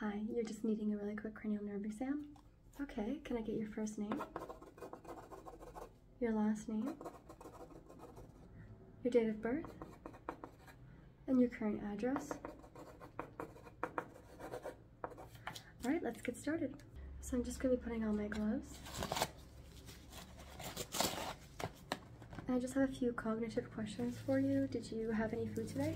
Hi, you're just needing a really quick cranial nerve exam? Okay, can I get your first name? Your last name? Your date of birth? And your current address? Alright, let's get started. So I'm just going to be putting on my gloves. I just have a few cognitive questions for you. Did you have any food today?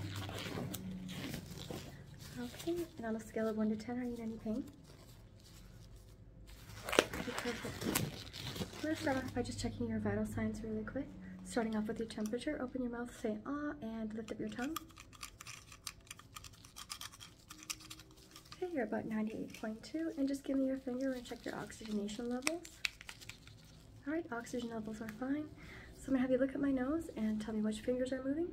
Okay, and on a scale of 1 to 10, are you in any pain? Okay, perfect. start off by just checking your vital signs really quick. Starting off with your temperature, open your mouth, say ah, and lift up your tongue. Okay, you're about 98.2, and just give me your finger and check your oxygenation levels. All right, oxygen levels are fine. So I'm gonna have you look at my nose and tell me which fingers are moving.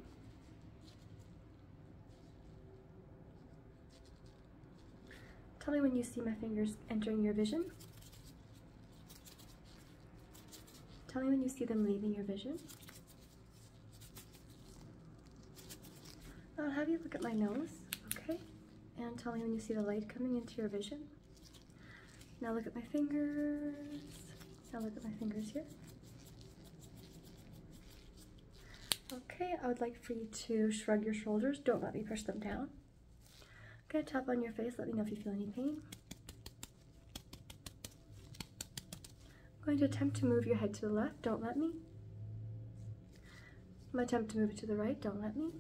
Tell me when you see my fingers entering your vision. Tell me when you see them leaving your vision. I'll have you look at my nose, okay? And tell me when you see the light coming into your vision. Now look at my fingers. Now look at my fingers here. Okay, I would like for you to shrug your shoulders. Don't let me push them down. Okay, tap on your face. Let me know if you feel any pain. I'm going to attempt to move your head to the left. Don't let me. I'm attempt to move it to the right. Don't let me.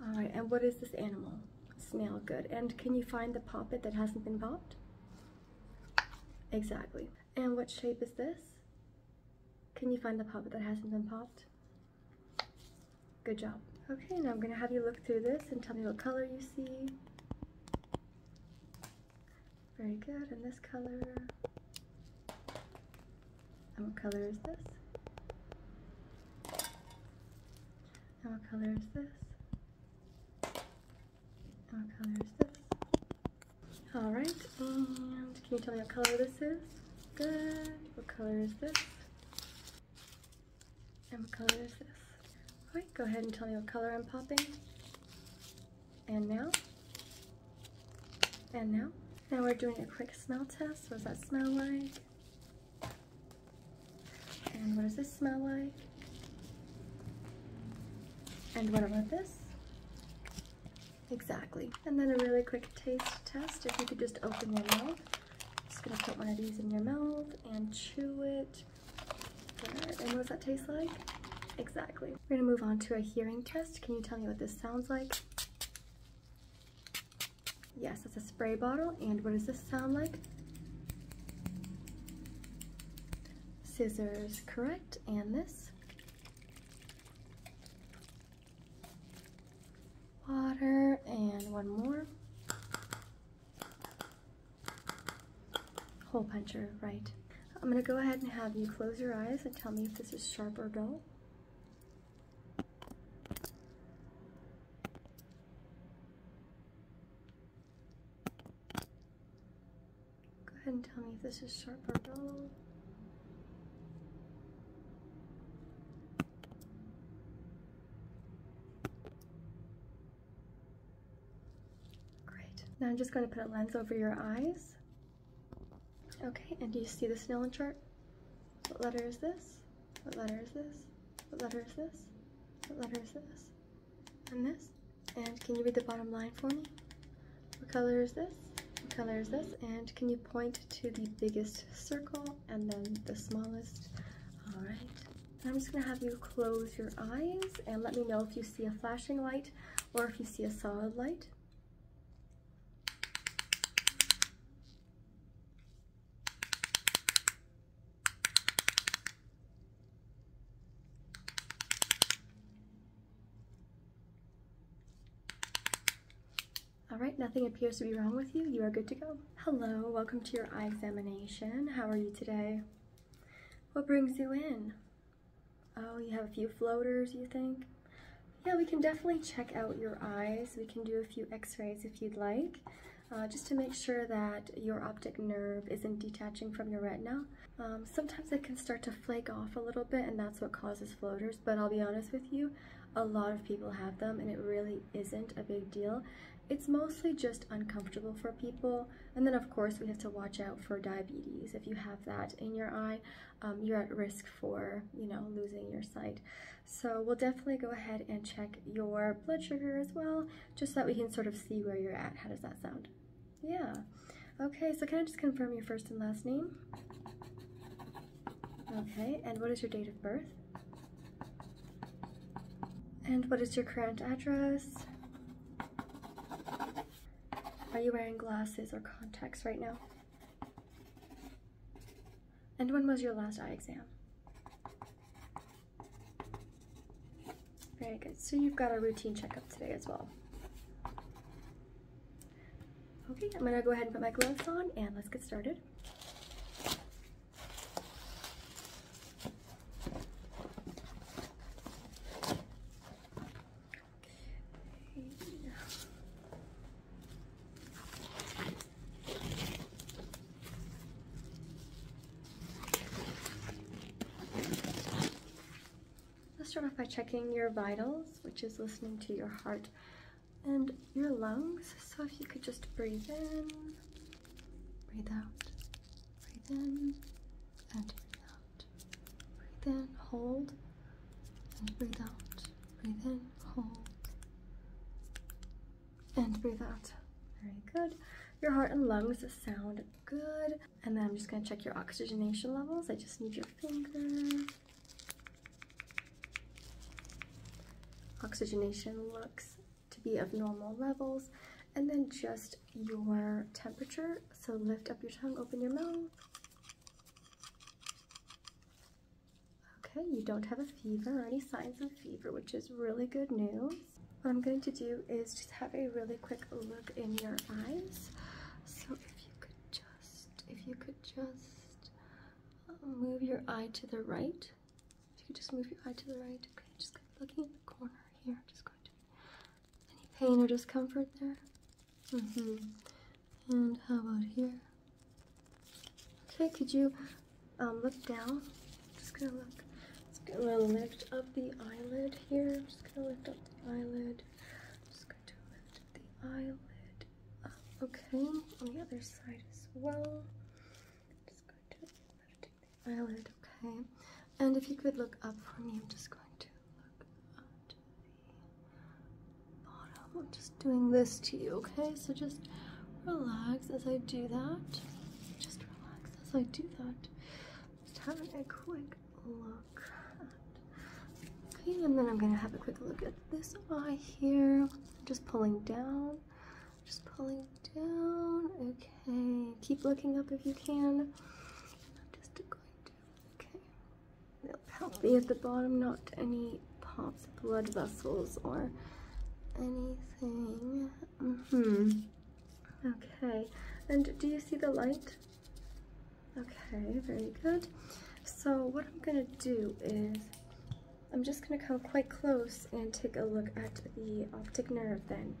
All right, and what is this animal? Snail, good. And can you find the poppet that hasn't been popped? Exactly. And what shape is this? Can you find the poppet that hasn't been popped? Good job. Okay, now I'm going to have you look through this and tell me what color you see. Very good, and this color. And what color is this? what color is this? what color is this? All right, and can you tell me what color this is? Good. What color is this? And what color is this? All right, go ahead and tell me what color I'm popping. And now. And now. Now we're doing a quick smell test. What does that smell like? And what does this smell like? And what about this? Exactly. And then a really quick taste test. If you could just open your mouth. Just gonna put one of these in your mouth and chew it. And what does that taste like? Exactly. We're gonna move on to a hearing test. Can you tell me what this sounds like? Yes, that's a spray bottle. And what does this sound like? Scissors, correct. And this? Water, and one more. Hole puncher, right. I'm gonna go ahead and have you close your eyes and tell me if this is sharp or dull. Go ahead and tell me if this is sharp or dull. Great. Now I'm just going to put a lens over your eyes. Okay, and do you see the Snellen chart? What letter is this? What letter is this? What letter is this? What letter is this? And this? And can you read the bottom line for me? What color is this? What color is this? And can you point to the biggest circle and then the smallest? All right. I'm just gonna have you close your eyes and let me know if you see a flashing light or if you see a solid light. All right, nothing appears to be wrong with you. You are good to go. Hello, welcome to your eye examination. How are you today? What brings you in? Oh, you have a few floaters, you think? Yeah, we can definitely check out your eyes. We can do a few x-rays if you'd like. Uh, just to make sure that your optic nerve isn't detaching from your retina. Um, sometimes it can start to flake off a little bit and that's what causes floaters, but I'll be honest with you, a lot of people have them and it really isn't a big deal. It's mostly just uncomfortable for people. And then of course we have to watch out for diabetes. If you have that in your eye, um, you're at risk for, you know, losing your sight. So we'll definitely go ahead and check your blood sugar as well, just so that we can sort of see where you're at. How does that sound? Yeah. Okay, so can I just confirm your first and last name? Okay, and what is your date of birth? And what is your current address? Are you wearing glasses or contacts right now? And when was your last eye exam? Very good. So you've got a routine checkup today as well. Okay, I'm gonna go ahead and put my gloves on and let's get started. Let's start off by checking your vitals, which is listening to your heart and your lungs. So if you could just breathe in, breathe out, breathe in, and out. Breathe in, hold, and breathe out. Breathe in, hold, and breathe out. Very good. Your heart and lungs sound good. And then I'm just gonna check your oxygenation levels. I just need your finger. Oxygenation looks to be of normal levels. And then just your temperature. So lift up your tongue, open your mouth. Okay, you don't have a fever or any signs of fever, which is really good news. What I'm going to do is just have a really quick look in your eyes. So if you could just, if you could just um, move your eye to the right. If you could just move your eye to the right. Okay, just looking in the corner here. Just going to, any pain or discomfort there? Mm-hmm. And how about here? Okay, could you um, look down. Just gonna look. Just gonna lift up the eyelid here. just gonna lift up the eyelid. just going to lift the eyelid uh, Okay, on the other side as well. Just going to lift the eyelid. Okay, and if you could look up for me, I'm just going to look up to the bottom. I'm just doing this to you. Okay, so just relax as I do that. Just as I do that. Just having a quick look Okay, and then I'm gonna have a quick look at this eye here. Just pulling down, just pulling down. Okay, keep looking up if you can. I'm just going to, okay. healthy at the bottom, not any pops, blood vessels, or anything Mm-hmm. Okay. And do you see the light? Okay, very good. So what I'm gonna do is I'm just gonna come quite close and take a look at the optic nerve then.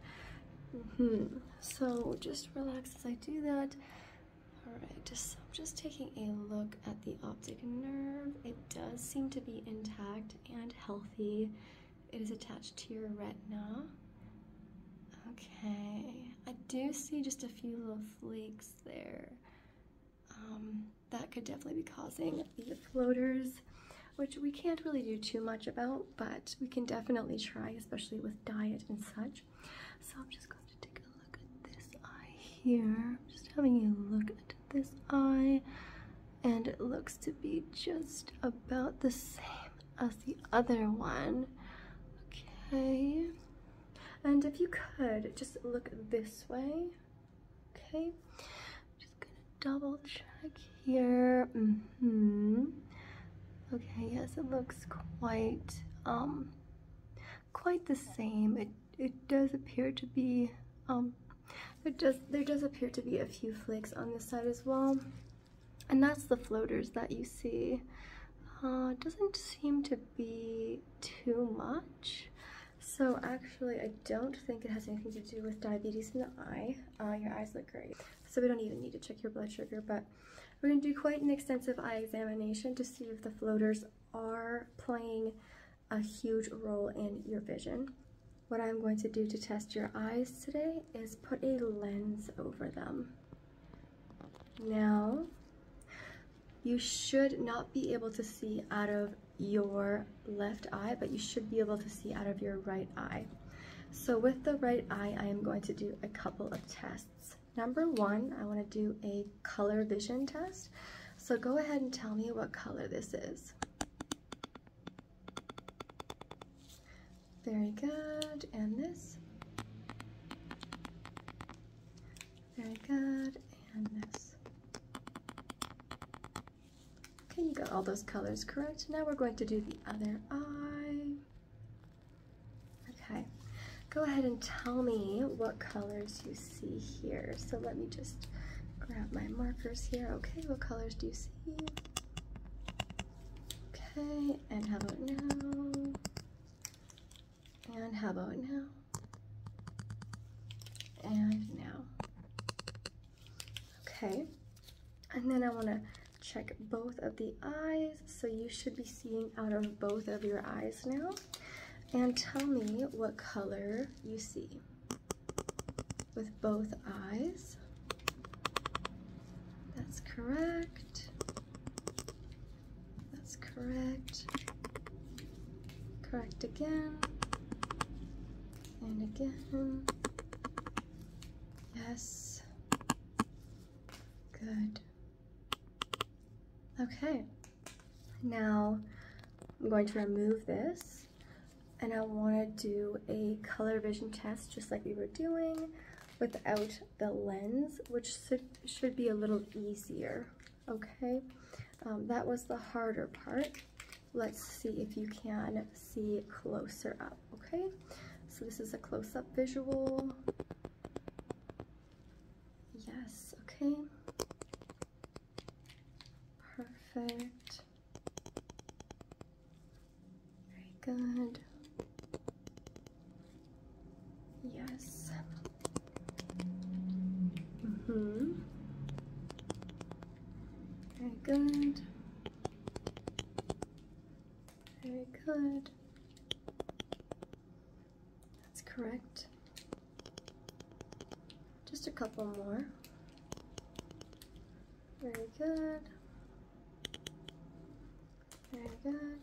Mm -hmm. So just relax as I do that. Alright, so I'm just taking a look at the optic nerve. It does seem to be intact and healthy. It is attached to your retina. Okay, I do see just a few little flakes there. Um, that could definitely be causing the floaters, which we can't really do too much about, but we can definitely try, especially with diet and such. So I'm just going to take a look at this eye here. just having a look at this eye and it looks to be just about the same as the other one okay and if you could just look this way okay I'm just gonna double check here mm-hmm. okay yes it looks quite um quite the same it it does appear to be um there does there does appear to be a few flakes on this side as well and that's the floaters that you see uh, doesn't seem to be too much so actually I don't think it has anything to do with diabetes in the eye uh, your eyes look great so we don't even need to check your blood sugar but we're going to do quite an extensive eye examination to see if the floaters are playing a huge role in your vision what I'm going to do to test your eyes today is put a lens over them. Now, you should not be able to see out of your left eye, but you should be able to see out of your right eye. So with the right eye, I am going to do a couple of tests. Number one, I want to do a color vision test. So go ahead and tell me what color this is. Very good. And this. Very good. And this. Okay, you got all those colors correct. Now we're going to do the other eye. Okay. Go ahead and tell me what colors you see here. So let me just grab my markers here. Okay, what colors do you see? Okay, and how about now? And how about now? And now. Okay, and then I want to check both of the eyes. So you should be seeing out of both of your eyes now. And tell me what color you see with both eyes. That's correct. That's correct. Correct again. And again. Yes. Good. Okay. Now I'm going to remove this and I want to do a color vision test just like we were doing without the lens, which should be a little easier, okay? Um, that was the harder part. Let's see if you can see closer up, okay? So this is a close-up visual. Yes, okay. Perfect. Very good. Yes. Mm-hmm. Very good. Very good. That's correct. Just a couple more. Very good. Very good.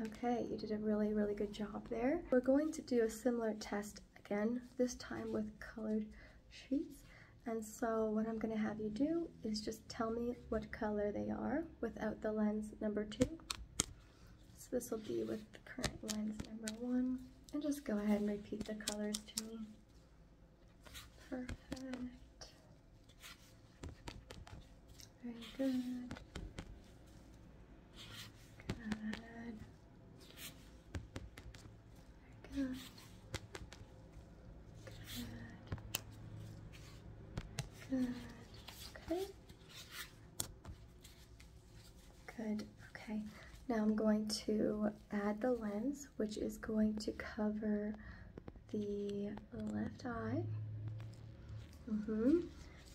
Okay, you did a really, really good job there. We're going to do a similar test again, this time with colored sheets. And so what I'm gonna have you do is just tell me what color they are without the lens number two. So this will be with the current lens number one. And just go ahead and repeat the colors to me. Perfect. Very good. Good. Very good. Good. Good. Okay. Good, okay. Now I'm going to add the lens, which is going to cover the left eye. Mm -hmm.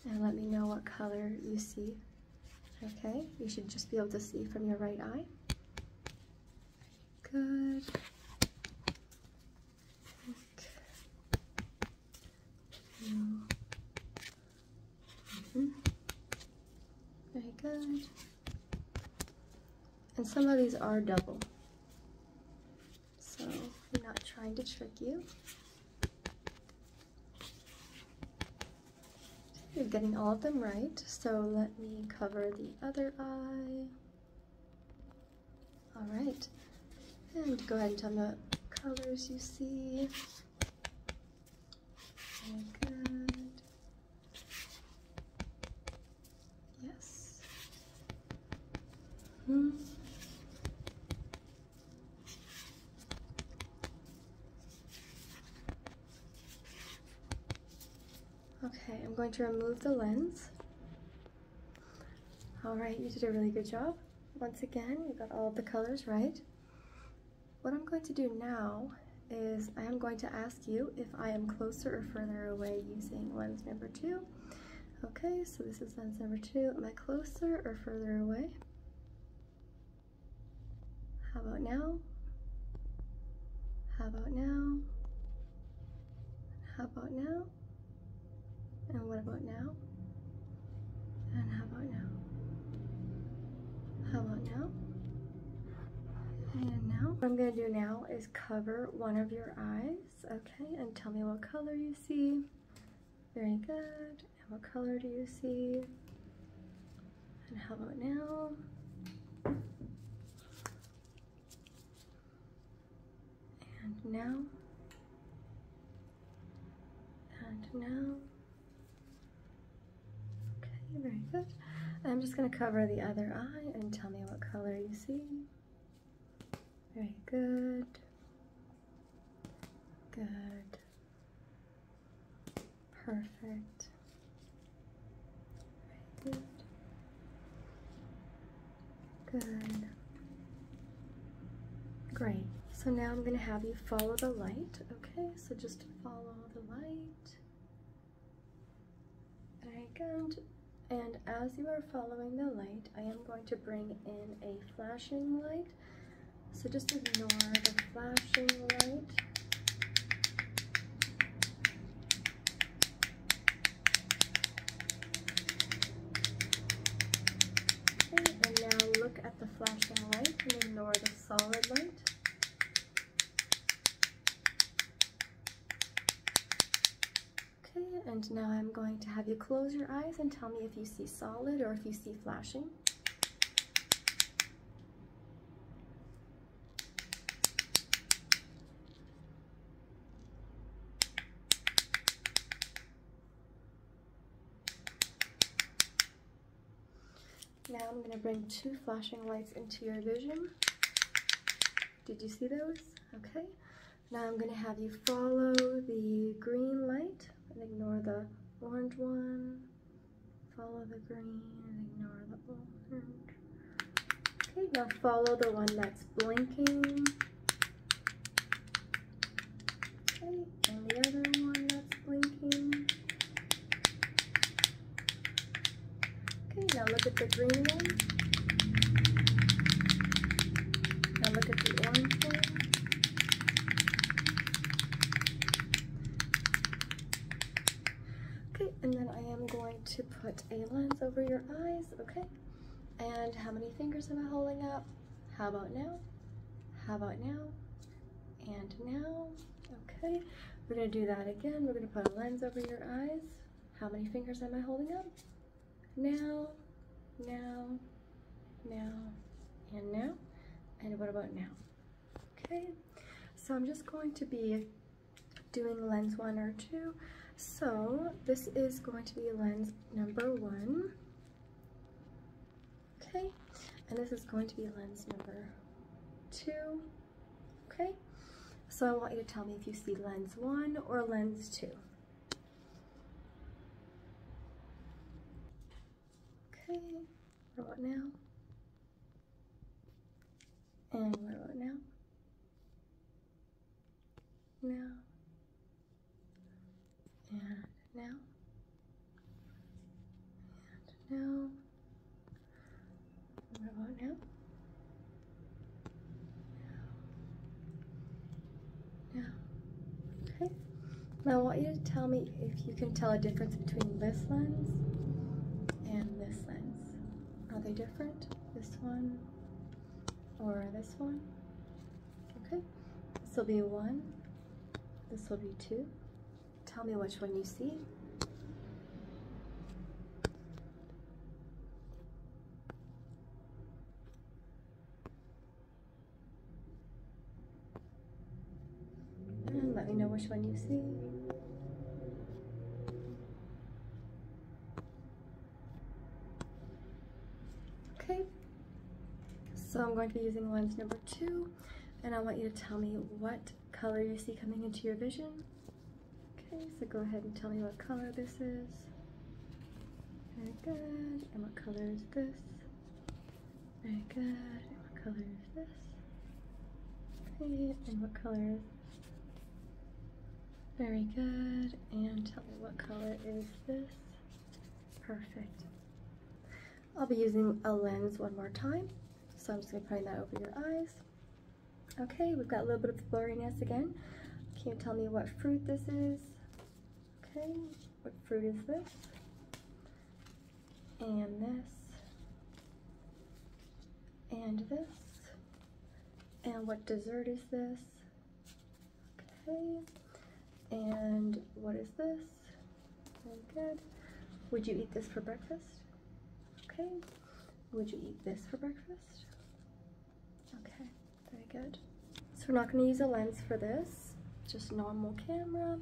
And let me know what color you see. Okay, you should just be able to see from your right eye. Good. Okay. Mm -hmm. Very good. And some of these are double. So I'm not trying to trick you. You're getting all of them right. So let me cover the other eye. All right. And go ahead and tell me colors you see good. Yes. hmm. Okay, I'm going to remove the lens. All right, you did a really good job. Once again, you got all the colors right. What I'm going to do now is I am going to ask you if I am closer or further away using lens number two. Okay, so this is lens number two. Am I closer or further away? How about now? How about now? How about now? And what about now? And how about now? How about now? And now, what I'm gonna do now is cover one of your eyes, okay? And tell me what color you see. Very good. And what color do you see? And how about now? And now. And now. Okay, very good. I'm just going to cover the other eye and tell me what color you see. Very good. Good. Perfect. good. Good. Great. So now I'm going to have you follow the light, okay? So just follow the light icon and as you are following the light I am going to bring in a flashing light so just ignore the flashing light okay, and now look at the flashing light and ignore the solid light Okay, and now I'm going to have you close your eyes and tell me if you see solid or if you see flashing. Now I'm going to bring two flashing lights into your vision. Did you see those? Okay. Now I'm going to have you follow the green light and ignore the orange one. Follow the green and ignore the orange. Okay, now follow the one that's blinking. Okay, and the other one that's blinking. Okay, now look at the green one. Now look at the orange one. Okay, and then I am going to put a lens over your eyes, okay? And how many fingers am I holding up? How about now? How about now? And now? Okay, we're gonna do that again. We're gonna put a lens over your eyes. How many fingers am I holding up? Now, now, now, and now. And what about now? Okay, so I'm just going to be doing lens one or two. So this is going to be lens number one. Okay, and this is going to be lens number two. Okay, so I want you to tell me if you see lens one or lens two. Okay, what about now? And now? Now. And now. And now. Where about now? Now. Okay. Now I want you to tell me if you can tell a difference between this lens and this lens. Are they different? This one or this one? Okay. This will be one. This will be two. Tell me which one you see. let me know which one you see. Okay, so I'm going to be using lens number two and I want you to tell me what color you see coming into your vision. Okay, so go ahead and tell me what color this is. Very good. And what color is this? Very good. And what color is this? And what color Very good. And tell me what color is this? Perfect. I'll be using a lens one more time. So I'm just going to put that over your eyes. Okay, we've got a little bit of blurriness again. Can you tell me what fruit this is? Okay, what fruit is this? And this. And this. And what dessert is this? Okay. And what is this? Very good. Would you eat this for breakfast? Okay. Would you eat this for breakfast? Okay, very good. So we're not gonna use a lens for this, just normal camera.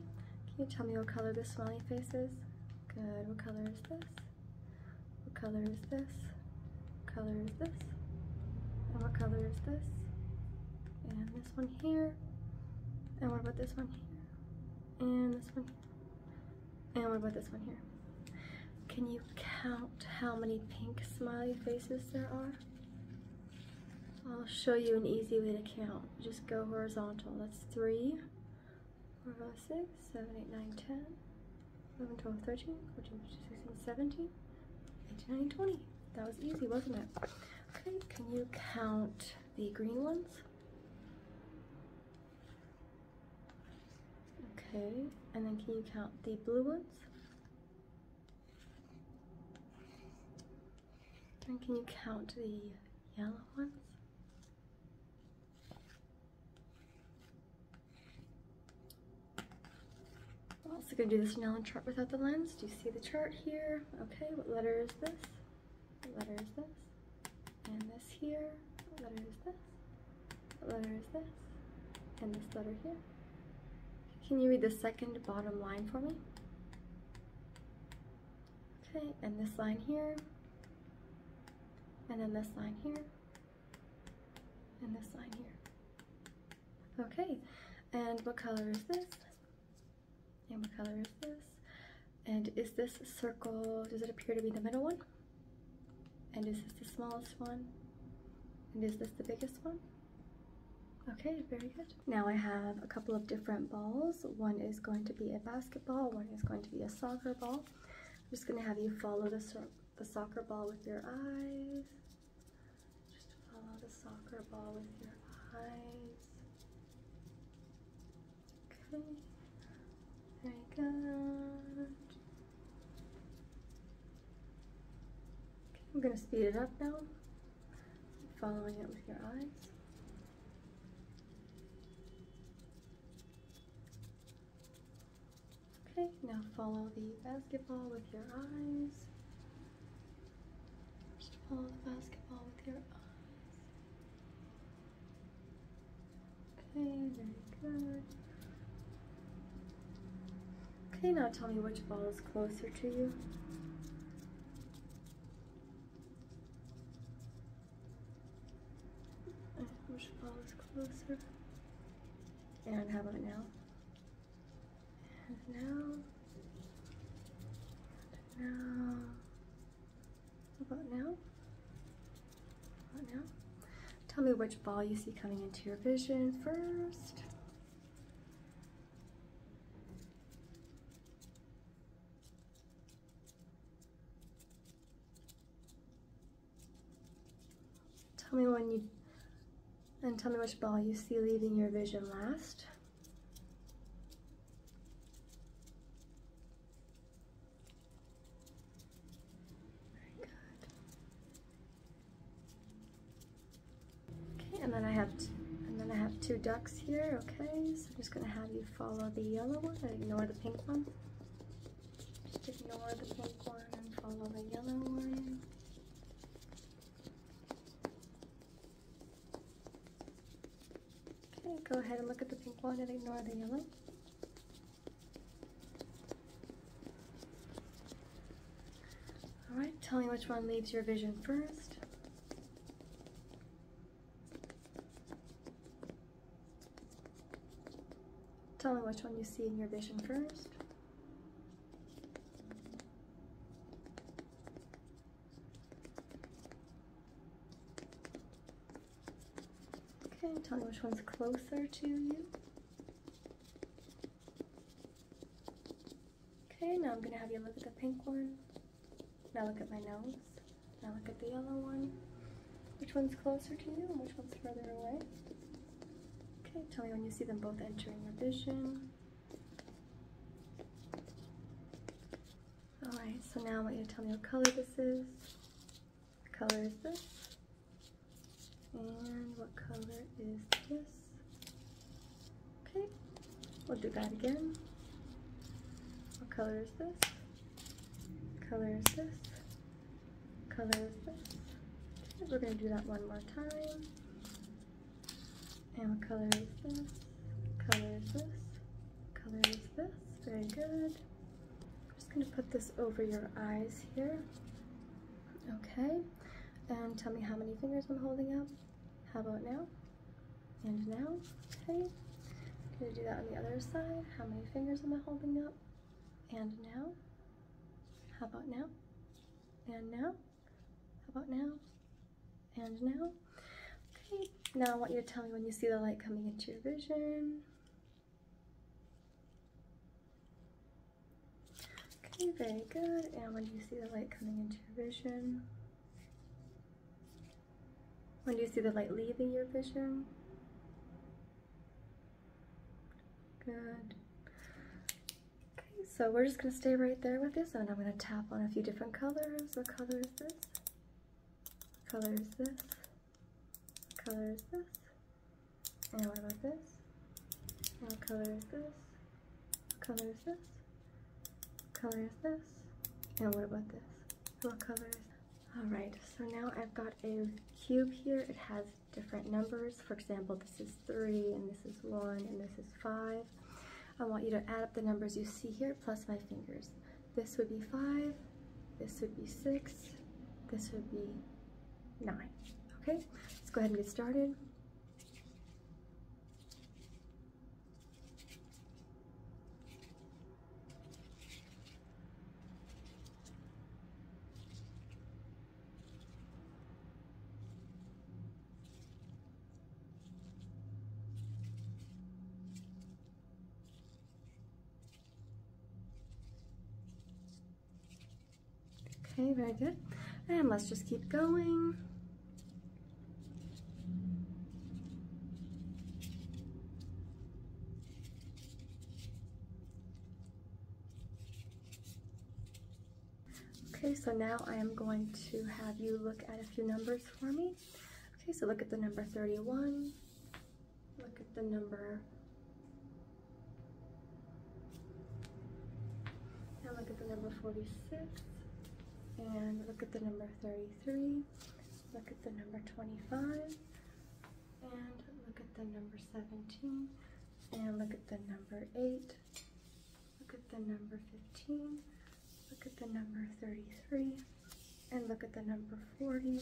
Can you tell me what color this smiley face is? Good, what color is this? What color is this? What color is this? And what color is this? And this one here. And what about this one here? And this one here. And what about this one here? Can you count how many pink smiley faces there are? I'll show you an easy way to count. Just go horizontal. That's 3, That was easy, wasn't it? Okay, can you count the green ones? Okay, and then can you count the blue ones? And can you count the yellow ones? also gonna do this now Snellen chart without the lens. Do you see the chart here? Okay, what letter is this? What letter is this? and this here. What letter is this? What letter is this? And this letter here. Can you read the second bottom line for me? Okay, and this line here, and then this line here, and this line here. Okay, and what color is this? And what color is this? And is this circle, does it appear to be the middle one? And is this the smallest one? And is this the biggest one? Okay, very good. Now I have a couple of different balls. One is going to be a basketball, one is going to be a soccer ball. I'm just gonna have you follow the, the soccer ball with your eyes. Just follow the soccer ball with your eyes. Okay. Very good. Okay, I'm going to speed it up now. Following it with your eyes. Okay, now follow the basketball with your eyes. follow the basketball with your eyes. Okay, very good. Okay, now tell me which ball is closer to you. Which ball is closer? And how about now? And now. And now about now? About now? Tell me which ball you see coming into your vision first. Tell me when you, and tell me which ball you see leaving your vision last. Okay, and then I have and then I have two ducks here, okay? So I'm just gonna have you follow the yellow one uh, ignore the pink one. Just ignore the pink one and follow the yellow one. Okay, go ahead and look at the pink one and ignore the yellow. All right, tell me which one leaves your vision first. Tell me which one you see in your vision first. Okay, tell me which one's closer to you. Okay, now I'm gonna have you look at the pink one. Now look at my nose. Now look at the yellow one. Which one's closer to you and which one's further away? Okay, tell me when you see them both entering your vision. Alright, so now I want you to tell me what color this is color is this? And what color is this? Okay, we'll do that again. What color is this? Color is this? Color is this? Okay, we're gonna do that one more time. And what color is this? Color is this? Color is this? Very good. I'm just gonna put this over your eyes here. Okay, and tell me how many fingers I'm holding up. How about now? And now, okay. I'm gonna do that on the other side. How many fingers am I holding up? And now? How about now? And now? How about now? And now? Okay, now I want you to tell me when you see the light coming into your vision. Okay, very good. And when do you see the light coming into your vision? When do you see the light leaving your vision? Good. Okay, so we're just going to stay right there with this, and I'm going to tap on a few different colors. What color is this? What color is this? color is this? And what about this? what color is this? What color is this? What color is this? And what about this? What color is Alright, so now I've got a cube here. It has different numbers. For example, this is 3, and this is 1, and this is 5. I want you to add up the numbers you see here plus my fingers. This would be 5, this would be six, this would be nine. Okay, let's go ahead and get started. Okay, very good. And let's just keep going. Okay, so now I am going to have you look at a few numbers for me. Okay, so look at the number 31, Look at the number. Now look at the number 46. And look at the number 33. Look at the number 25. And look at the number 17. And look at the number 8. Look at the number 15. Look at the number 33. And look at the number 40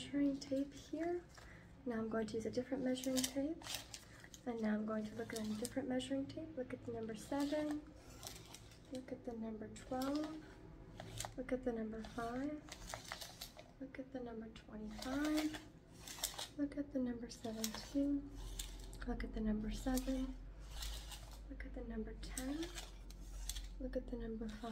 measuring tape here. Now I'm going to use a different measuring tape. And now I'm going to look at a different measuring tape. Look at the number 7. Look at the number 12. Look at the number 5. Look at the number 25. Look at the number 17. Look at the number 7. Look at the number 10. Look at the number 5.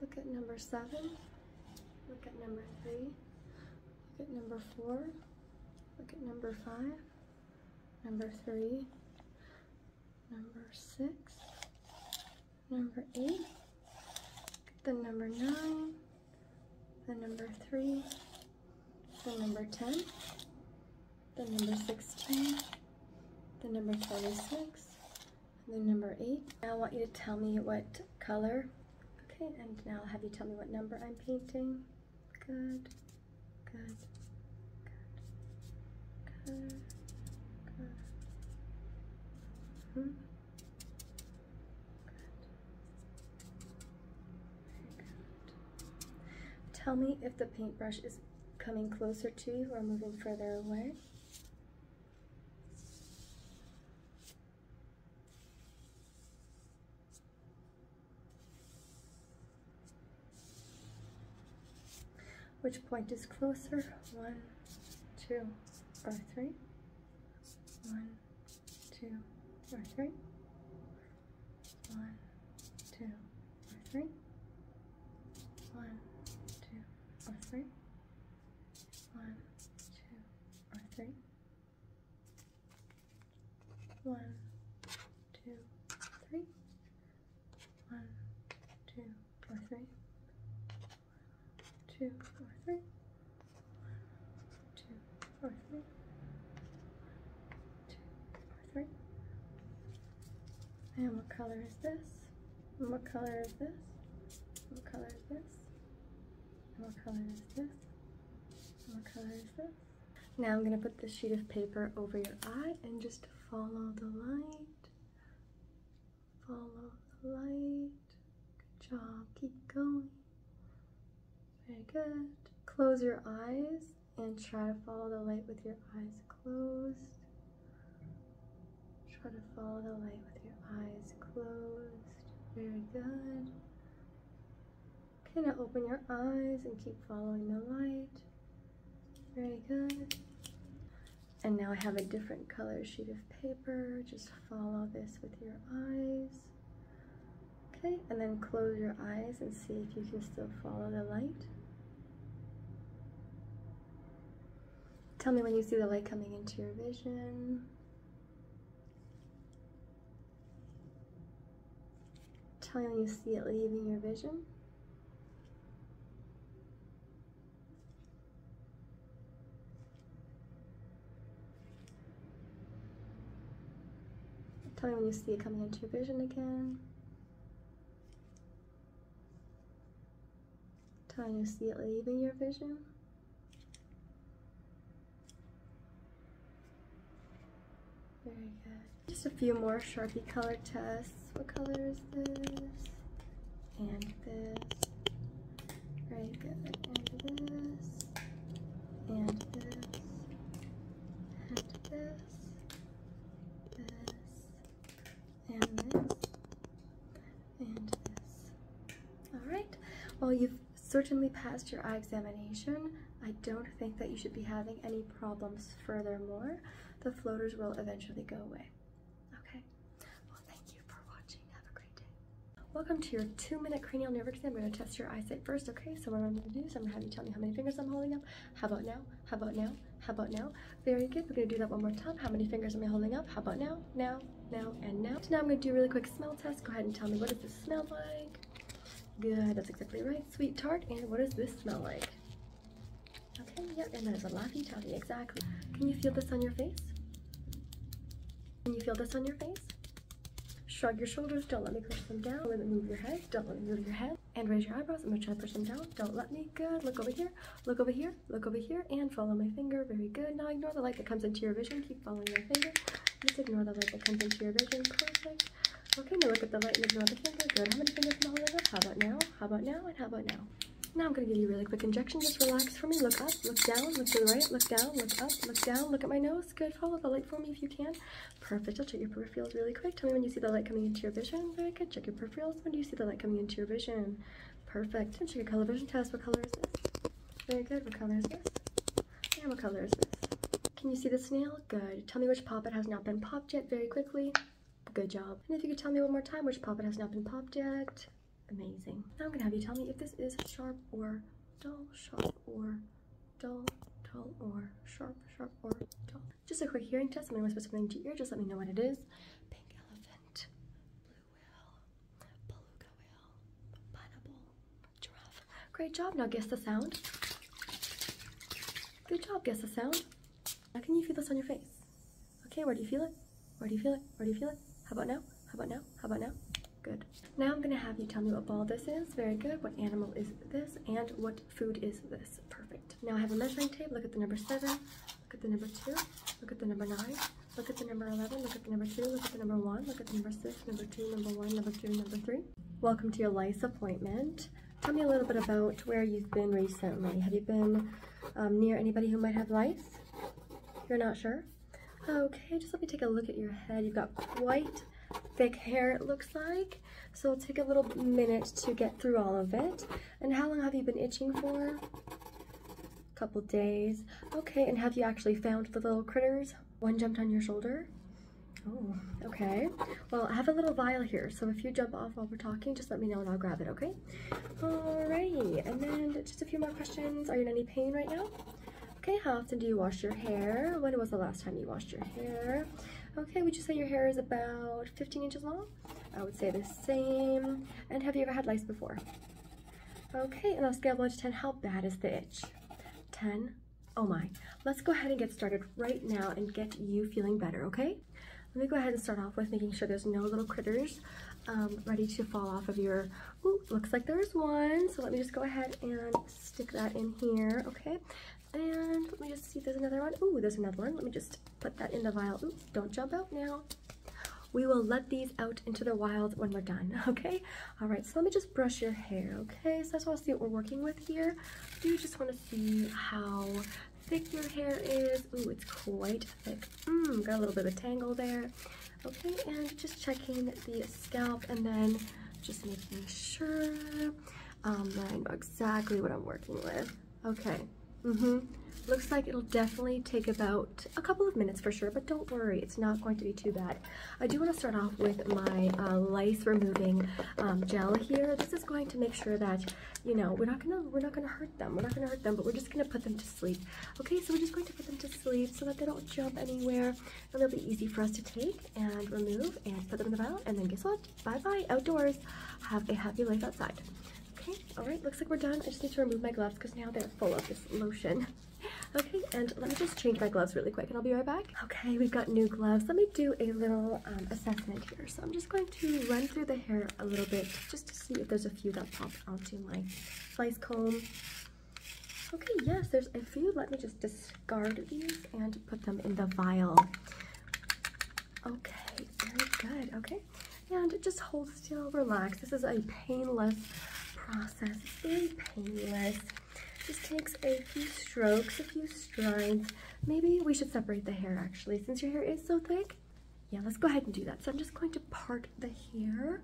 Look at number seven. Look at number three. Look at number four. Look at number five. Number three. Number six. Number eight. the number nine. The number three. The number 10. The number 16. The number 26 and number eight. I want you to tell me what color. Okay, and now I'll have you tell me what number I'm painting. Good, good, good, good, good. good. good. Tell me if the paintbrush is coming closer to you or moving further away. Which point is closer? One, two, or three? One, two, or three? One, two, or three? One, two, or three? One, two, or three. One, two, three. One, two, or three. One, two, or three. One, two, or three. One, two, or three. And what color is this? what color is this? What color is this? what color is this? what color is this? Now I'm going to put this sheet of paper over your eye and just follow the light. Follow the light. Good job. Keep going. Very good. Close your eyes and try to follow the light with your eyes closed. Try to follow the light with your eyes closed. Very good. Okay, now open your eyes and keep following the light. Very good. And now I have a different color sheet of paper. Just follow this with your eyes. Okay, and then close your eyes and see if you can still follow the light. Tell me when you see the light coming into your vision. Tell me when you see it leaving your vision. Tell me when you see it coming into your vision again. Trying to see it leaving your vision. Very good. Just a few more Sharpie color tests. What color is this? And this. Very good. And this. And this. And this. This and this, and this. All right. Well, you've certainly passed your eye examination. I don't think that you should be having any problems furthermore. The floaters will eventually go away. Okay. Well, thank you for watching. Have a great day. Welcome to your two-minute cranial nerve exam. I'm going to test your eyesight first, okay? So what I'm going to do is I'm going to have you tell me how many fingers I'm holding up. How about now? How about now? How about now? Very good. We're gonna do that one more time. How many fingers am I holding up? How about now? Now, now, and now. So now I'm gonna do a really quick smell test. Go ahead and tell me what does this smell like? Good, that's exactly right. Sweet tart. And what does this smell like? Okay, Yep. and that is a laffy taffy, exactly. Can you feel this on your face? Can you feel this on your face? Shrug your shoulders, don't let me push them down. move your head, don't let me move your head. And raise your eyebrows, I'm gonna try to push them down. Don't let me, good, look over here look over here, look over here, and follow my finger. Very good. Now ignore the light that comes into your vision. Keep following my finger. Just ignore the light that comes into your vision. Perfect. Okay, now look at the light and ignore the finger. Good. How many fingers am I holding up? How about now? How about now? And how about now? Now I'm going to give you a really quick injection. Just relax for me. Look up, look down, look to the right, look down, look up, look down, look at my nose. Good. Follow the light for me if you can. Perfect. I'll check your peripherals really quick. Tell me when you see the light coming into your vision. Very good. Check your peripherals. When do you see the light coming into your vision? Perfect. And check your color vision test. What color is this? Very good. What color is this? And what color is this? Can you see the snail? Good. Tell me which poppet has not been popped yet very quickly. Good job. And if you could tell me one more time which poppet has not been popped yet. Amazing. Now I'm going to have you tell me if this is sharp or dull, sharp or dull, dull or sharp, sharp or dull. Just a quick hearing test. I'm going to whisper something to your ear. Just let me know what it is. Pink elephant, Great job. Now guess the sound. Good job. Guess the sound. How can you feel this on your face? Okay, where do you feel it? Where do you feel it? Where do you feel it? How about now? How about now? How about now? Good. Now I'm going to have you tell me what ball this is. Very good. What animal is this? And what food is this? Perfect. Now I have a measuring tape. Look at the number 7. Look at the number 2. Look at the number 9. Look at the number 11, look at the number 2, look at the number 1, look at the number 6, number 2, number 1, number 2, number 3. Welcome to your lice appointment. Tell me a little bit about where you've been recently. Have you been um, near anybody who might have lice? You're not sure? Okay, just let me take a look at your head. You've got quite thick hair, it looks like. So it'll take a little minute to get through all of it. And how long have you been itching for? couple days. Okay, and have you actually found the little critters? One jumped on your shoulder? Oh, okay. Well, I have a little vial here, so if you jump off while we're talking, just let me know and I'll grab it, okay? All righty. and then just a few more questions. Are you in any pain right now? Okay, how often do you wash your hair? When was the last time you washed your hair? Okay, would you say your hair is about 15 inches long? I would say the same. And have you ever had lice before? Okay, and I'll scale 1 to 10, how bad is the itch? 10. Oh my. Let's go ahead and get started right now and get you feeling better, okay? Let me go ahead and start off with making sure there's no little critters um, ready to fall off of your, ooh, looks like there's one. So let me just go ahead and stick that in here, okay? And let me just see if there's another one. Ooh, there's another one. Let me just put that in the vial. Ooh, don't jump out now. We will let these out into the wild when we're done, okay? All right, so let me just brush your hair, okay? So I just wanna see what we're working with here. I do just wanna see how thick your hair is. Ooh, it's quite thick. Mmm, got a little bit of a tangle there. Okay, and just checking the scalp and then just making sure that um, I know exactly what I'm working with. Okay, Mm-hmm. Looks like it'll definitely take about a couple of minutes for sure, but don't worry, it's not going to be too bad. I do want to start off with my uh, lice removing um, gel here. This is going to make sure that you know we're not gonna we're not gonna hurt them. We're not gonna hurt them, but we're just gonna put them to sleep. Okay, so we're just going to put them to sleep so that they don't jump anywhere, and they'll be easy for us to take and remove and put them in the vial, and then guess what? Bye bye outdoors. Have a happy life outside. Okay, all right, looks like we're done. I just need to remove my gloves because now they're full of this lotion. Okay, and let me just change my gloves really quick and I'll be right back. Okay, we've got new gloves. Let me do a little um, assessment here. So I'm just going to run through the hair a little bit just to see if there's a few that pop onto my slice comb. Okay, yes, there's a few. Let me just discard these and put them in the vial. Okay, very good. Okay, and just hold still, relax. This is a painless process, it's very painless. Just takes a few strokes, a few strides. Maybe we should separate the hair actually, since your hair is so thick. Yeah, let's go ahead and do that. So I'm just going to part the hair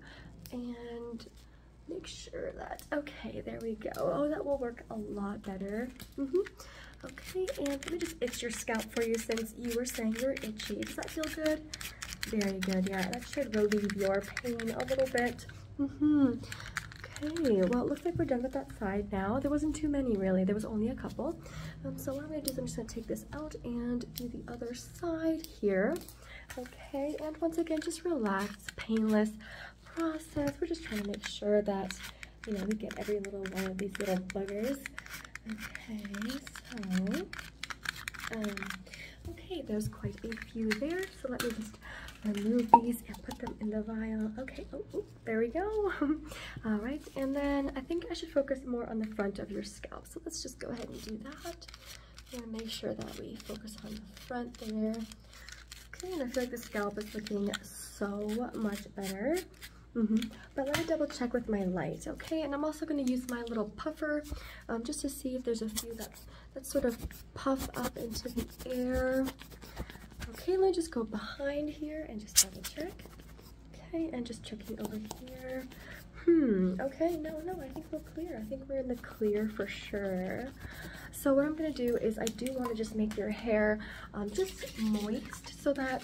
and make sure that, okay, there we go. Oh, that will work a lot better. -hmm. Okay, and let me just itch your scalp for you since you were saying you're itchy. Does that feel good? Very good. Yeah, that should relieve your pain a little bit. Mm-hmm. Okay, well, it looks like we're done with that side now. There wasn't too many, really. There was only a couple. Um, so what I'm going to do is I'm just going to take this out and do the other side here. Okay, and once again, just relax, painless process. We're just trying to make sure that, you know, we get every little one of these little buggers. Okay, so... Um, okay, there's quite a few there, so let me just remove these and put them in the vial. Okay, oh, oh there we go. All right, and then I think I should focus more on the front of your scalp, so let's just go ahead and do that. I'm gonna make sure that we focus on the front there. Okay, and I feel like the scalp is looking so much better. Mm-hmm. But let me double check with my light, okay? And I'm also gonna use my little puffer um, just to see if there's a few that, that sort of puff up into the air. Okay, let me just go behind here and just double check. Okay, and just checking over here. Hmm, okay, no, no, I think we're clear. I think we're in the clear for sure. So what I'm going to do is I do want to just make your hair um, just moist so that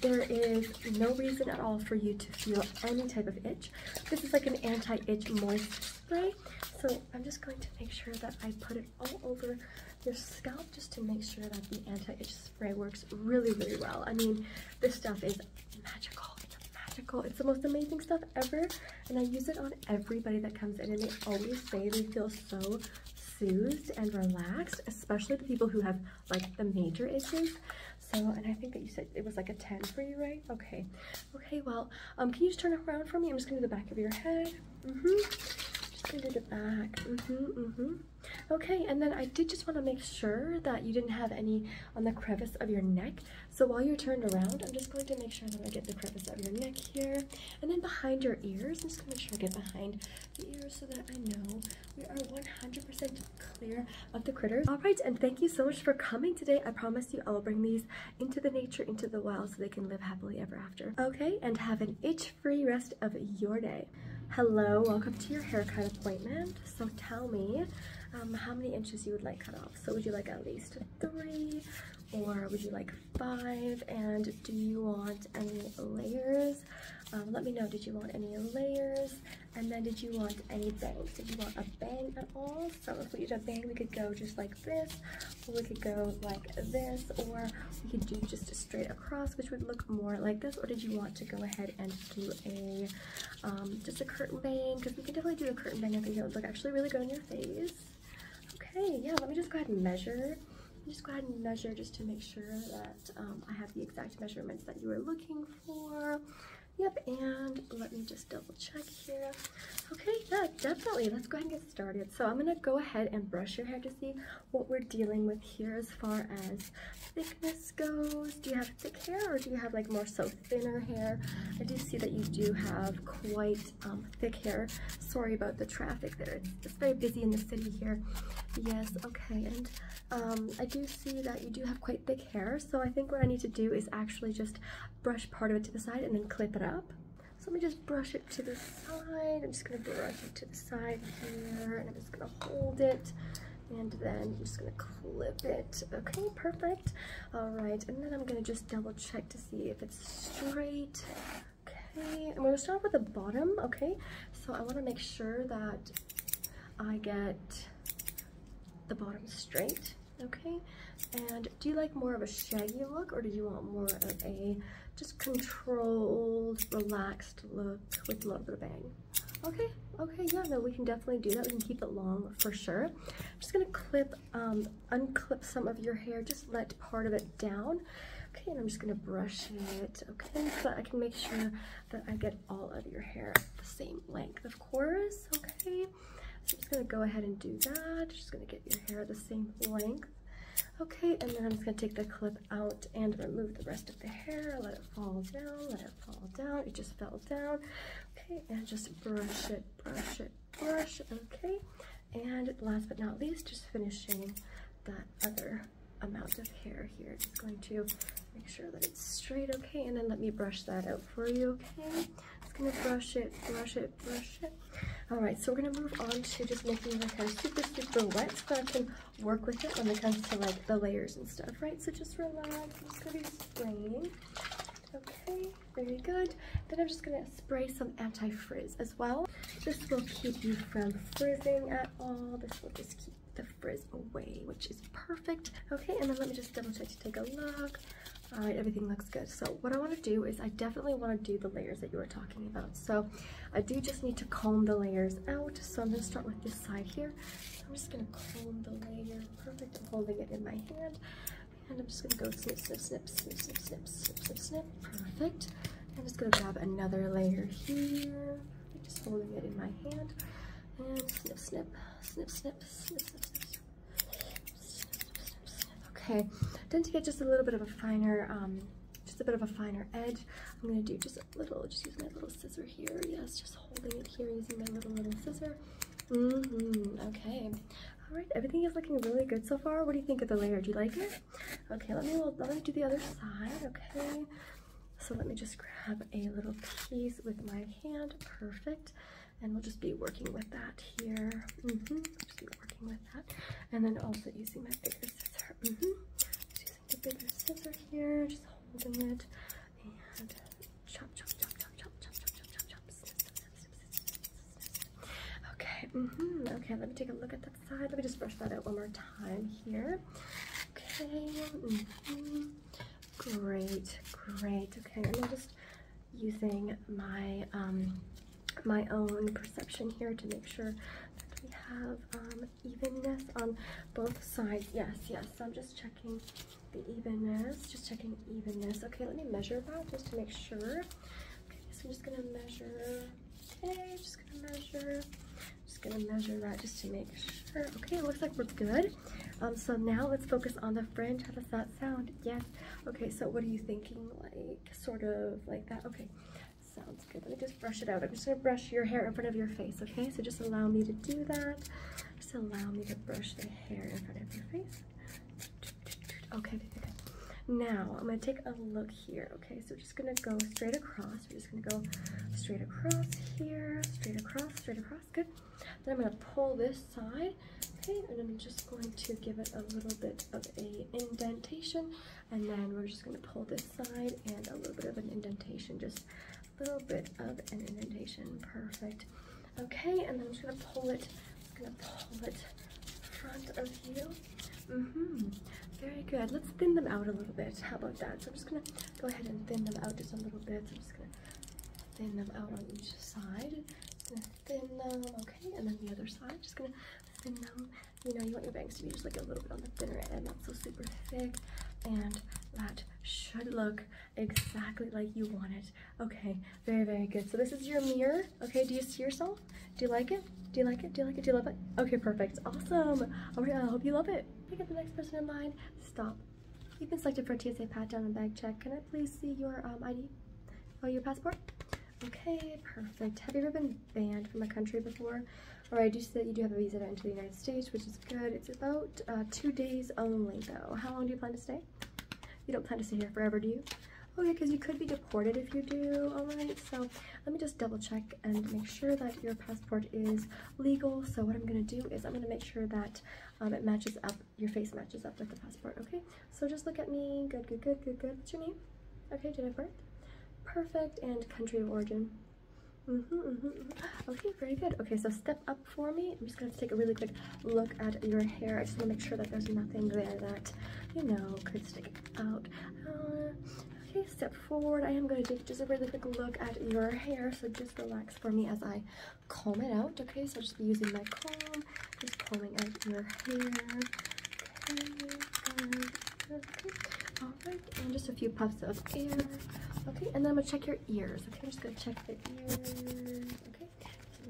there is no reason at all for you to feel any type of itch. This is like an anti-itch moisturizer, So I'm just going to make sure that I put it all over your scalp just to make sure that the anti-itch spray works really, really well. I mean, this stuff is magical. magical. It's the most amazing stuff ever. And I use it on everybody that comes in and they always say they feel so soothed and relaxed, especially the people who have like the major issues. So, and I think that you said it was like a 10 for you, right? Okay. Okay, well, um, can you just turn around for me? I'm just gonna do the back of your head. Mm-hmm. Just gonna do the back. Mm-hmm, mm-hmm. Okay, and then I did just want to make sure that you didn't have any on the crevice of your neck. So while you're turned around, I'm just going to make sure that I get the crevice of your neck here. And then behind your ears, I'm just going to make sure I get behind the ears so that I know we are 100% clear of the critters. All right, and thank you so much for coming today. I promise you I will bring these into the nature, into the wild, so they can live happily ever after. Okay, and have an itch-free rest of your day. Hello, welcome to your haircut appointment. So tell me um, how many inches you would like cut off. So would you like at least three, or would you like five? And do you want any layers? Um, let me know, did you want any layers? And then did you want any bangs? Did you want a bang at all? So if we did a bang, we could go just like this, or we could go like this, or we could do just straight across, which would look more like this, or did you want to go ahead and do a, um, just a curtain bang? Because we could definitely do a curtain bang. I think that would look actually really good on your face. Okay, yeah, let me just go ahead and measure just go ahead and measure just to make sure that um, I have the exact measurements that you were looking for. Yep, and let me just double check here. Okay, yeah, definitely. Let's go ahead and get started. So I'm gonna go ahead and brush your hair to see what we're dealing with here as far as thickness goes. Do you have thick hair or do you have like more so thinner hair? I do see that you do have quite um, thick hair. Sorry about the traffic there. it's very busy in the city here. Yes, okay, and um, I do see that you do have quite thick hair, so I think what I need to do is actually just brush part of it to the side and then clip it up. So let me just brush it to the side. I'm just gonna brush it to the side here, and I'm just gonna hold it, and then I'm just gonna clip it. Okay, perfect. All right, and then I'm gonna just double check to see if it's straight. Okay, I'm gonna start with the bottom, okay? So I wanna make sure that I get the bottom straight, okay? And do you like more of a shaggy look or do you want more of a just controlled, relaxed look with a little bit of bang? Okay, okay, yeah, no, we can definitely do that. We can keep it long for sure. I'm just gonna clip, um, unclip some of your hair, just let part of it down. Okay, and I'm just gonna brush it, okay, so I can make sure that I get all of your hair the same length, of course, okay? So I'm just gonna go ahead and do that. Just gonna get your hair the same length. Okay, and then I'm just gonna take the clip out and remove the rest of the hair. Let it fall down, let it fall down. It just fell down. Okay, and just brush it, brush it, brush, okay? And last but not least, just finishing that other amount of hair here. Just going to Make sure that it's straight, okay? And then let me brush that out for you, okay? Just gonna brush it, brush it, brush it. All right, so we're gonna move on to just making my hair super, super wet so I can work with it when it comes to like the layers and stuff, right? So just relax, just gonna be spraying. Okay, very good. Then I'm just gonna spray some anti-frizz as well. This will keep you from frizzing at all. This will just keep the frizz away, which is perfect. Okay, and then let me just double check to take a look. All right, everything looks good. So what I wanna do is I definitely wanna do the layers that you were talking about. So I do just need to comb the layers out. So I'm gonna start with this side here. I'm just gonna comb the layer, perfect. I'm holding it in my hand. And I'm just gonna go snip, snip, snip, snip, snip, snip, snip, snip, snip, perfect. I'm just gonna grab another layer here, just holding it in my hand, and snip, snip, snip, snip, snip, snip, snip snip snip snip Okay, then to get just a little bit of a finer, um, just a bit of a finer edge, I'm gonna do just a little, just use my little scissor here. Yes, just holding it here using my little, little scissor. Mm -hmm. Okay. All right, everything is looking really good so far. What do you think of the layer? Do you like it? Okay, let me, let me do the other side, okay? So let me just grab a little piece with my hand, perfect. And we'll just be working with that here. Mm -hmm. Just be working with that, and then also using my bigger scissor. Mm -hmm. Just using the bigger scissor here, just holding it, and chop, chop, chop, chop, chop, chop, chop, chop, chop, chop. Snip, snip, snip, snip, snip, snip, snip. Okay. Mm -hmm. Okay. Let me take a look at that side. Let me just brush that out one more time here. Okay. Mm -hmm. Great, great. Okay, I'm just using my um, my own perception here to make sure that we have um, evenness on both sides. Yes, yes. I'm just checking the evenness. Just checking evenness. Okay, let me measure that just to make sure. Okay, so I'm just gonna measure. Okay, just gonna measure. Just gonna measure that just to make sure. Okay, it looks like we're good. Um, so now let's focus on the fringe. How does that sound? Yes. Okay, so what are you thinking? Like, sort of like that? Okay, sounds good. Let me just brush it out. I'm just gonna brush your hair in front of your face, okay? So just allow me to do that. Just allow me to brush the hair in front of your face. Okay, Now, I'm gonna take a look here, okay? So just gonna go straight across. We're just gonna go straight across here, straight across, straight across, good. Then I'm going to pull this side, okay, and I'm just going to give it a little bit of a indentation, and then we're just going to pull this side and a little bit of an indentation, just a little bit of an indentation, perfect. Okay, and then I'm just going to pull it, just going to pull it front of you. Mm hmm Very good. Let's thin them out a little bit. How about that? So I'm just going to go ahead and thin them out just a little bit. I'm just going to thin them out on each side. thin them, okay? And then the other side, just gonna thin them. You know, you want your bangs to be just like a little bit on the thinner end, not so super thick. And that should look exactly like you want it. Okay, very, very good. So this is your mirror, okay? Do you see yourself? Do you like it? Do you like it? Do you like it? Do you love it? Okay, perfect. Awesome. All right, I hope you love it. Pick up the next person in line. Stop You've been selected for TSA pat down and bag check. Can I please see your um, ID? Oh, your passport? Okay, perfect. Have you ever been banned from a country before? All right, I do see that you do have a visa into the United States, which is good. It's about uh, two days only, though. How long do you plan to stay? You don't plan to stay here forever, do you? Okay, oh, because you could be deported if you do, all right? So let me just double check and make sure that your passport is legal. So what I'm going to do is I'm going to make sure that um, it matches up your face matches up with the passport, okay? So just look at me. Good, good, good, good, good. What's your name? Okay, date of birth? Perfect. And country of origin? Mm-hmm, mm-hmm, mm-hmm. Okay, very good. Okay, so step up for me. I'm just gonna take a really quick look at your hair. I just wanna make sure that there's nothing there that, you know, could stick out. Uh, okay, step forward. I am gonna take just a really quick look at your hair, so just relax for me as I comb it out, okay? So I'll just be using my comb, just combing out your hair. Okay, Alright, and just a few puffs of air. Okay, and then I'm gonna check your ears. Okay, I'm just gonna check the ears. Okay.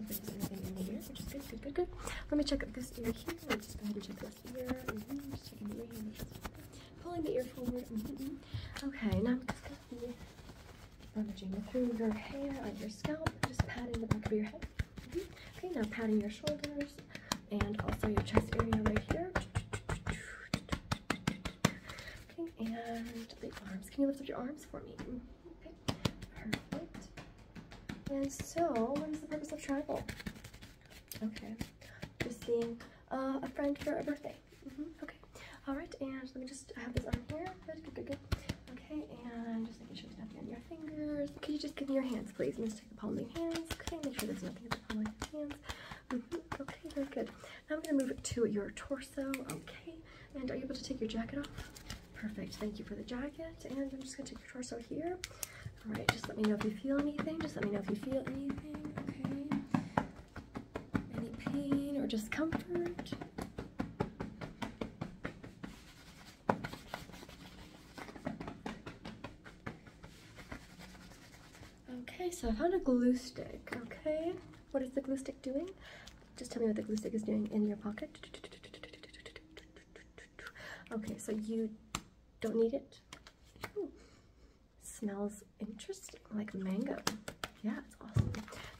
good, good, good, Let me check this ear here. just go ahead and check this ear. Mm-hmm, just checking the ear. Pulling the ear forward. Mm-hmm, mm-hmm. Okay, now I'm gonna Rummaging through your hair on your scalp, just patting the back of your head. Mm-hmm. Okay, now patting your shoulders and also your chest area right here. Okay, and the arms. Can you lift up your arms for me? Mm-hmm. Okay, perfect. And so, what is the purpose of travel? Okay, just seeing uh, a friend for a birthday. Mm-hmm. Okay. All right. And let me just have this on here. Good. Good. Good. Good. Okay. And just making sure there's nothing on your fingers. Can you just give me your hands, please? Let just take the palm of your hands. Okay. Make sure there's nothing on the palm of your hands. Mm-hmm. Okay. Very good. Now I'm gonna move it to your torso. Okay. And are you able to take your jacket off? Perfect. Thank you for the jacket. And I'm just gonna take your torso here. All right. Just let me know if you feel anything. Just let me know if you feel anything. Okay any pain or discomfort. Okay, so I found a glue stick, okay? What is the glue stick doing? Just tell me what the glue stick is doing in your pocket. Okay, so you don't need it. Smells interesting, like mango. Yeah, it's awesome.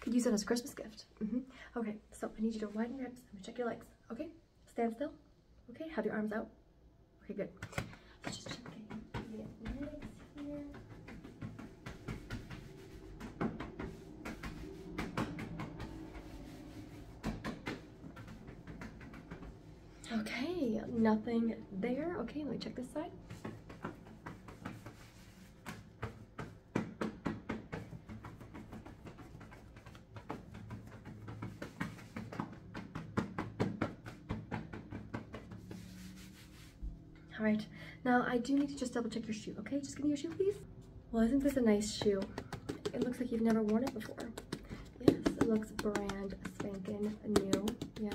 Could use it as a Christmas gift. Mm-hmm. Okay, so I need you to widen your hips. I'm gonna check your legs. Okay, stand still. Okay, have your arms out. Okay, good. Okay, nothing there. Okay, let me check this side. All right, now I do need to just double check your shoe, okay? Just give me your shoe, please. Well, isn't this a nice shoe? It looks like you've never worn it before. Yes, it looks brand spanking new, yes.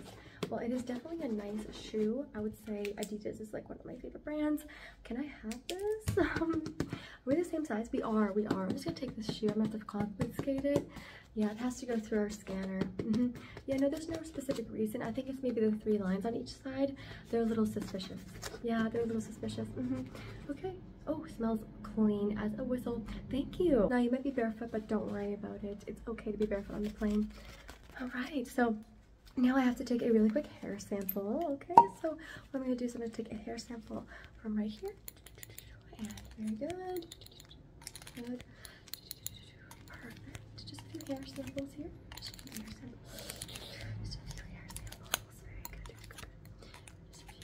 Well, it is definitely a nice shoe. I would say Adidas is like one of my favorite brands. Can I have this? Um, are we the same size? We are, we are. I'm just gonna take this shoe. I'm gonna have to confiscate it. Yeah, it has to go through our scanner. Mm-hmm. Yeah, no, there's no specific reason. I think it's maybe the three lines on each side. They're a little suspicious. Yeah, they're a little suspicious. Mm-hmm. Okay. Oh, smells clean as a whistle. Thank you. Now, you might be barefoot, but don't worry about it. It's okay to be barefoot on the plane. All right, so now I have to take a really quick hair sample. Okay, so what I'm gonna do is I'm gonna take a hair sample from right here. And very good. Good. Perfect. Just a few hair samples here. Just a few hair samples. Just a few hair samples. Very good. Very good. Just a few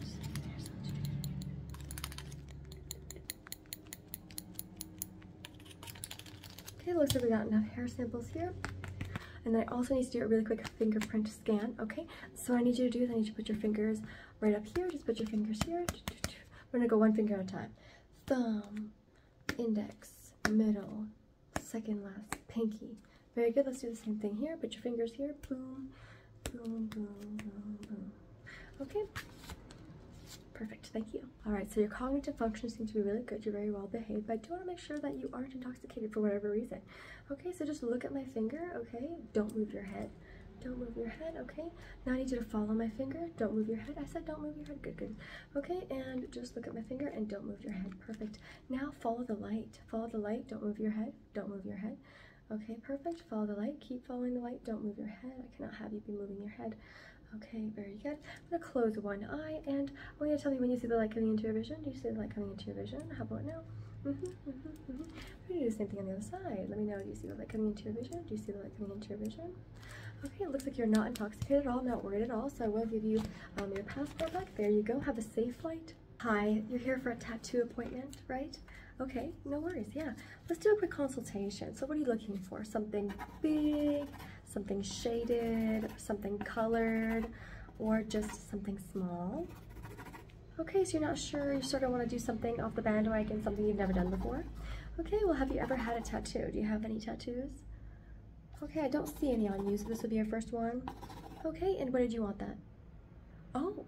Just a few Okay, looks like we got enough hair samples here. And then I also need to do a really quick fingerprint scan, okay? So I need you to do is I need you to put your fingers right up here. Just put your fingers here. We're gonna go one finger at a time. Thumb, index, middle, second last, pinky. Very good, let's do the same thing here. Put your fingers here, boom, boom, boom, boom. Okay, perfect, thank you. All right, so your cognitive functions seem to be really good. You're very well behaved, but I do want to make sure that you aren't intoxicated for whatever reason. Okay, so just look at my finger, okay? Don't move your head. Don't move your head, okay? Now I need you to follow my finger. Don't move your head. I said don't move your head. Good, good. Okay, and just look at my finger and don't move your head. Perfect. Now follow the light. Follow the light. Don't move your head. Don't move your head. Okay, perfect. Follow the light. Keep following the light. Don't move your head. I cannot have you be moving your head. Okay, very good. I'm gonna close one eye, and I want you to tell me when you see the light coming into your vision. Do you see the light coming into your vision? How about now? Mm-hmm, mm-hmm, mm-hmm. I'm gonna do the same thing on the other side. Let me know, do you see the light coming into your vision? Do you see the light coming into your vision? Okay, it looks like you're not intoxicated at all, not worried at all, so I will give you um, your passport back. There you go, have a safe flight. Hi, you're here for a tattoo appointment, right? Okay, no worries, yeah. Let's do a quick consultation. So what are you looking for? Something big, something shaded, something colored, or just something small? Okay, so you're not sure, you sort of want to do something off the bandwagon, something you've never done before. Okay, well have you ever had a tattoo? Do you have any tattoos? Okay, I don't see any on you, so this would be your first one. Okay, and where did you want that? Oh,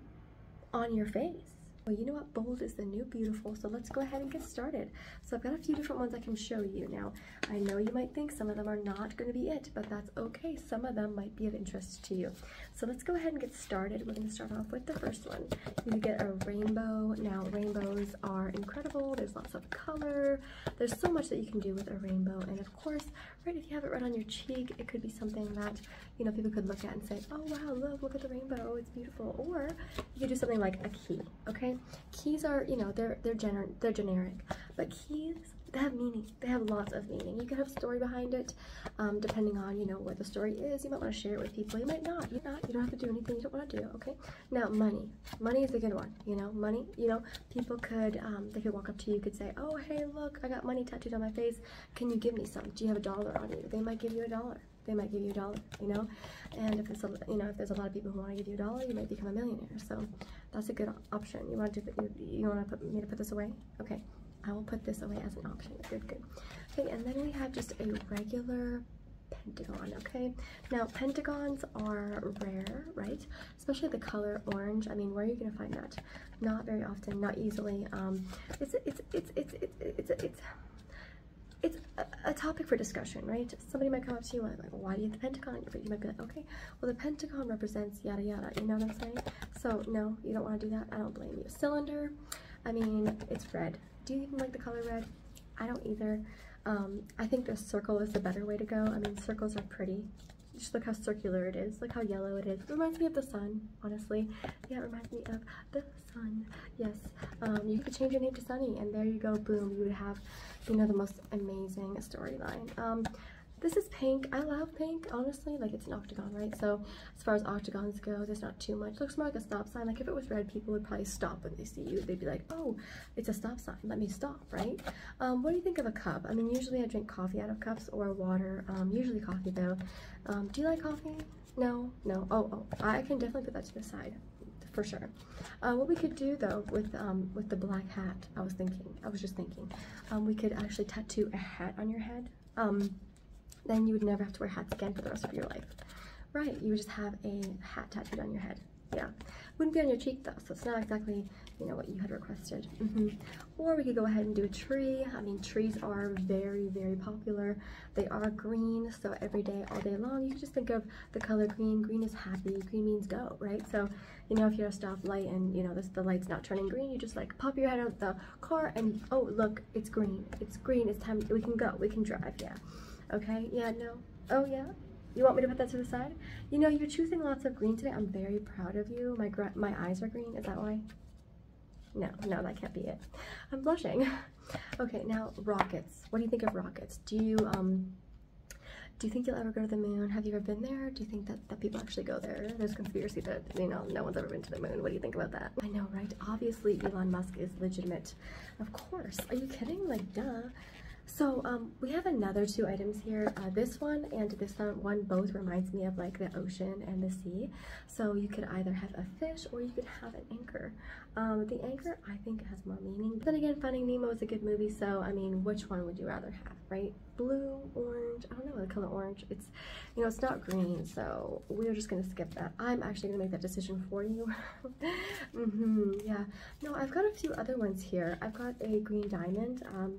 on your face. Well, you know what? Bold is the new beautiful, so let's go ahead and get started. So I've got a few different ones I can show you. Now, I know you might think some of them are not going to be it, but that's okay. Some of them might be of interest to you. So let's go ahead and get started. We're going to start off with the first one. You get a rainbow. Now, rainbows are incredible. There's lots of color. There's so much that you can do with a rainbow. And of course, right, if you have it right on your cheek, it could be something that, you know, people could look at and say, oh, wow, look, look at the rainbow. It's beautiful. Or you could do something like a key, okay? Keys are, you know, they're they're gener they're generic, but keys they have meaning. They have lots of meaning. You could have story behind it, um, depending on you know what the story is. You might want to share it with people. You might not. You not. You don't have to do anything you don't want to do. Okay. Now money. Money is a good one. You know, money. You know, people could um, they could walk up to you, could say, oh hey look, I got money tattooed on my face. Can you give me some? Do you have a dollar on you? They might give you a dollar they might give you a dollar, you know? And if it's you know, if there's a lot of people who want to give you a dollar, you might become a millionaire. So that's a good option. You want to you, you want to put me to put this away? Okay, I will put this away as an option. Good, good. Okay, and then we have just a regular pentagon, okay? Now, pentagons are rare, right? Especially the color orange. I mean, where are you going to find that? Not very often, not easily. Um, it's, it's, it's, it's, it's, it's it's a, topic for discussion, right? Somebody might come up to you and like, why do you have the Pentagon on You might be like, okay, well, the Pentagon represents yada yada, you know what I'm saying? So, no, you don't want to do that. I don't blame you. Cylinder, I mean, it's red. Do you even like the color red? I don't either. Um, I think the circle is the better way to go. I mean, circles are pretty. Just look how circular it is. Look how yellow it is. It reminds me of the sun, honestly. Yeah, it reminds me of the Sun. Yes, um, you could change your name to Sunny, and there you go, boom. You would have, you know, the most amazing storyline. Um, this is pink. I love pink, honestly. Like, it's an octagon, right? So, as far as octagons go, there's not too much. Looks more like a stop sign. Like, if it was red, people would probably stop when they see you. They'd be like, oh, it's a stop sign. Let me stop, right? Um, what do you think of a cup? I mean, usually I drink coffee out of cups or water. usually coffee, though. do you like coffee? No, no. Oh, oh. I can definitely put that to the side, for sure. Uh, what we could do though with um, with the black hat, I was thinking. I was just thinking, um, we could actually tattoo a hat on your head. Um, then you would never have to wear hats again for the rest of your life. Right? You would just have a hat tattooed on your head. Yeah. Wouldn't be on your cheek though, so it's not exactly you know what you had requested. Mm -hmm. Or we could go ahead and do a tree. I mean, trees are very very popular. They are green, so every day, all day long, you can just think of the color green. Green is happy. Green means go, right? So, you know, if you're at a stoplight and, you know, this, the light's not turning green, you just like pop your head out the car and, oh, look, it's green. It's green. It's time. We can go. We can drive. Yeah. Okay. Yeah. No. Oh, yeah. You want me to put that to the side? You know, you're choosing lots of green today. I'm very proud of you. My, my eyes are green. Is that why? No, no, that can't be it. I'm blushing. Okay, now rockets. What do you think of rockets? Do you um do you think you'll ever go to the moon? Have you ever been there? Do you think that, that people actually go there? There's conspiracy that, you know, no one's ever been to the moon. What do you think about that? I know, right? Obviously, Elon Musk is legitimate. Of course. Are you kidding? Like, duh. So, um, we have another two items here. Uh, this one and this one both reminds me of, like, the ocean and the sea. So, you could either have a fish or you could have an anchor. Um, the Anchor, I think, has more meaning. But then again, Finding Nemo is a good movie, so I mean, which one would you rather have, right? Blue, orange, I don't know the color orange. It's, you know, it's not green, so we're just gonna skip that. I'm actually gonna make that decision for you. Mm-hmm, yeah. No, I've got a few other ones here. I've got a green diamond. Um,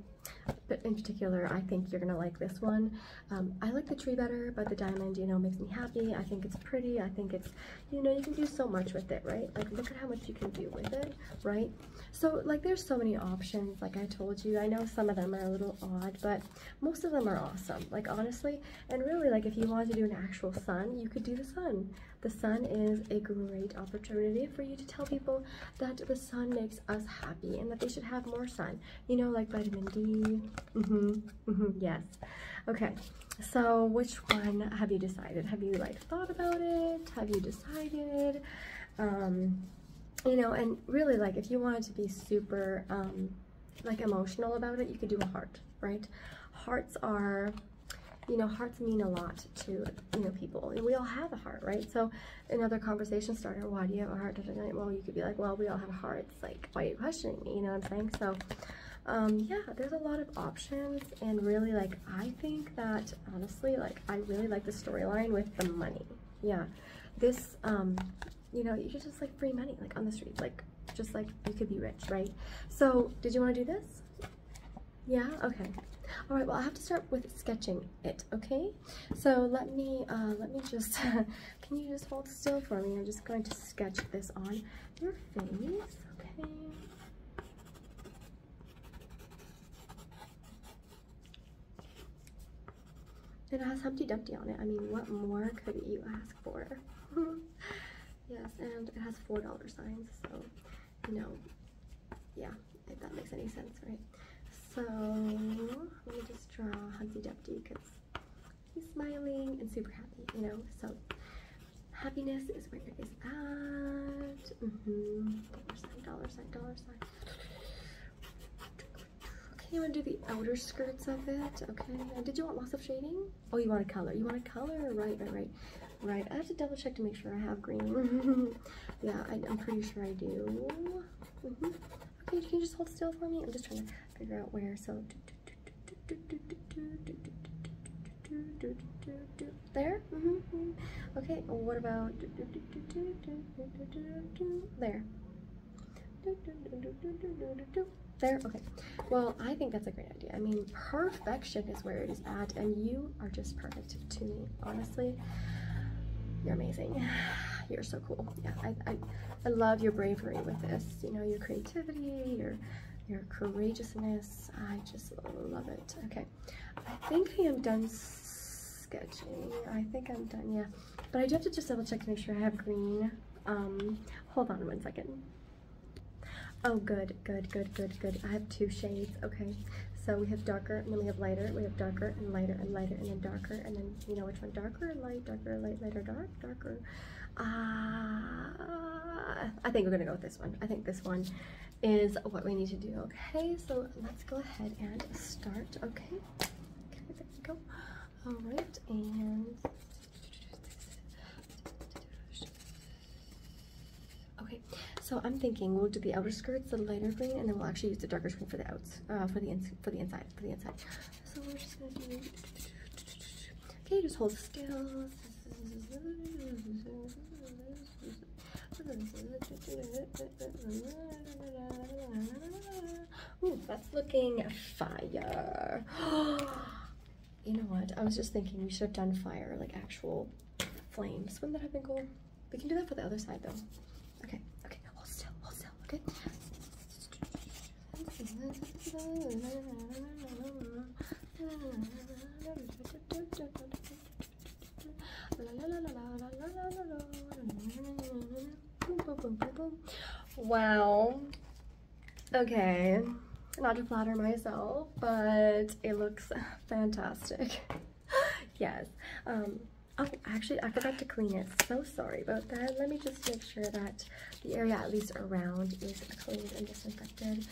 but in particular, I think you're gonna like this one. Um, I like the tree better, but the diamond, you know, makes me happy. I think it's pretty. I think it's you know, you can do so much with it, right? Like, look at how much you can do with it, right? So, like, there's so many options. Like I told you, I know some of them are a little odd, but most of them are awesome. Like, honestly, and really, like, if you wanted to do an actual sun, you could do the sun. The sun is a great opportunity for you to tell people that the sun makes us happy and that they should have more sun. You know, like vitamin D. Mm-hmm. Mm-hmm. Yes. Okay, so which one have you decided? Have you like thought about it? Have you decided? Um, you know, and really like if you wanted to be super um, like emotional about it, you could do a heart, right? Hearts are you know, hearts mean a lot to, you know, people. And we all have a heart, right? So another conversation starter, why do you have a heart? Well, you could be like, well, we all have hearts. Like, why are you questioning me? You know what I'm saying? So um, yeah, there's a lot of options and really like, I think that honestly, like I really like the storyline with the money. Yeah, this, um, you know, you could just like free money, like on the street, like just like you could be rich, right? So did you want to do this? Yeah, okay. All right, well, I have to start with sketching it, okay? So let me, uh, let me just, can you just hold still for me? I'm just going to sketch this on your face, okay? It has Humpty Dumpty on it. I mean, what more could you ask for? yes, and it has $4 signs, so, you know, yeah, if that makes any sense, right? So, let me just draw Humpty Dumpty because he's smiling and super happy, you know. So happiness is where it is at. Mm -hmm. Dollar sign, dollar sign, dollar sign. Okay, you to do the outer skirts of it. Okay. did you want lots of shading? Oh, you want a color. You want a color? Right, right, right. I have to double check to make sure I have green. yeah, I, am pretty sure I do. Mm -hmm. Okay, can you just hold still for me? I'm just trying to figure out where. So. There? Mm -hmm. Okay, what about there? There, okay. Well, I think that's a great idea. I mean, perfection is where it is at, and you are just perfect to me, honestly. You're amazing. You're so cool. Yeah, I, I, I love your bravery with this. You know, your creativity, your, your courageousness, I just love it. Okay, I think I am done sketching. I think I'm done, yeah. But I do have to just double check to make sure I have green. Um, hold on one second. Oh, good, good, good, good, good. I have two shades, okay. So we have darker, and then we have lighter. We have darker and lighter and lighter and then darker. And then, you know which one? Darker, light, darker, light, lighter, dark, darker. Uh, I think we're gonna go with this one. I think this one is what we need to do. Okay, so let's go ahead and start. Okay, okay, there we go. All right, and okay. So I'm thinking we'll do the outer skirts, the lighter green, and then we'll actually use the darker green for the outs, uh, for the for the inside, for the inside. So we're just gonna do. Okay, just hold still. Ooh, that's looking fire. you know what? I was just thinking we should have done fire, like actual flames. Wouldn't that have been cool? We can do that for the other side though. Okay, okay, hold still, hold still, okay? Wow. okay, not to flatter myself, but it looks fantastic. yes. Um, oh, actually, I forgot to clean it. So sorry about that. Let me just make sure that the area, at least around, is cleaned and disinfected.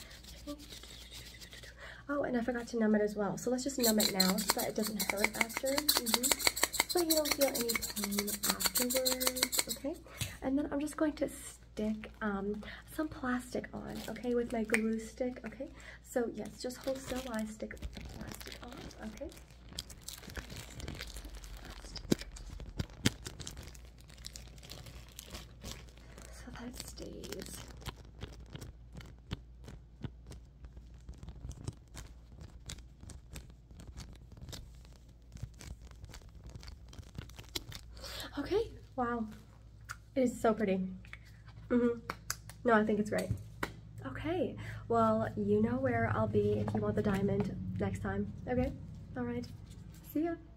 Oh, and I forgot to numb it as well. So let's just numb it now so that it doesn't hurt after. Mm So you don't feel any pain afterwards, okay? And then I'm just going to stick um, some plastic on, okay, with my glue stick, okay? So yes, just hold still while I stick the plastic on, okay? So that stays. Okay, wow. It is so pretty. Mm -hmm. No, I think it's right. Okay, well, you know where I'll be if you want the diamond next time. Okay, all right. See ya.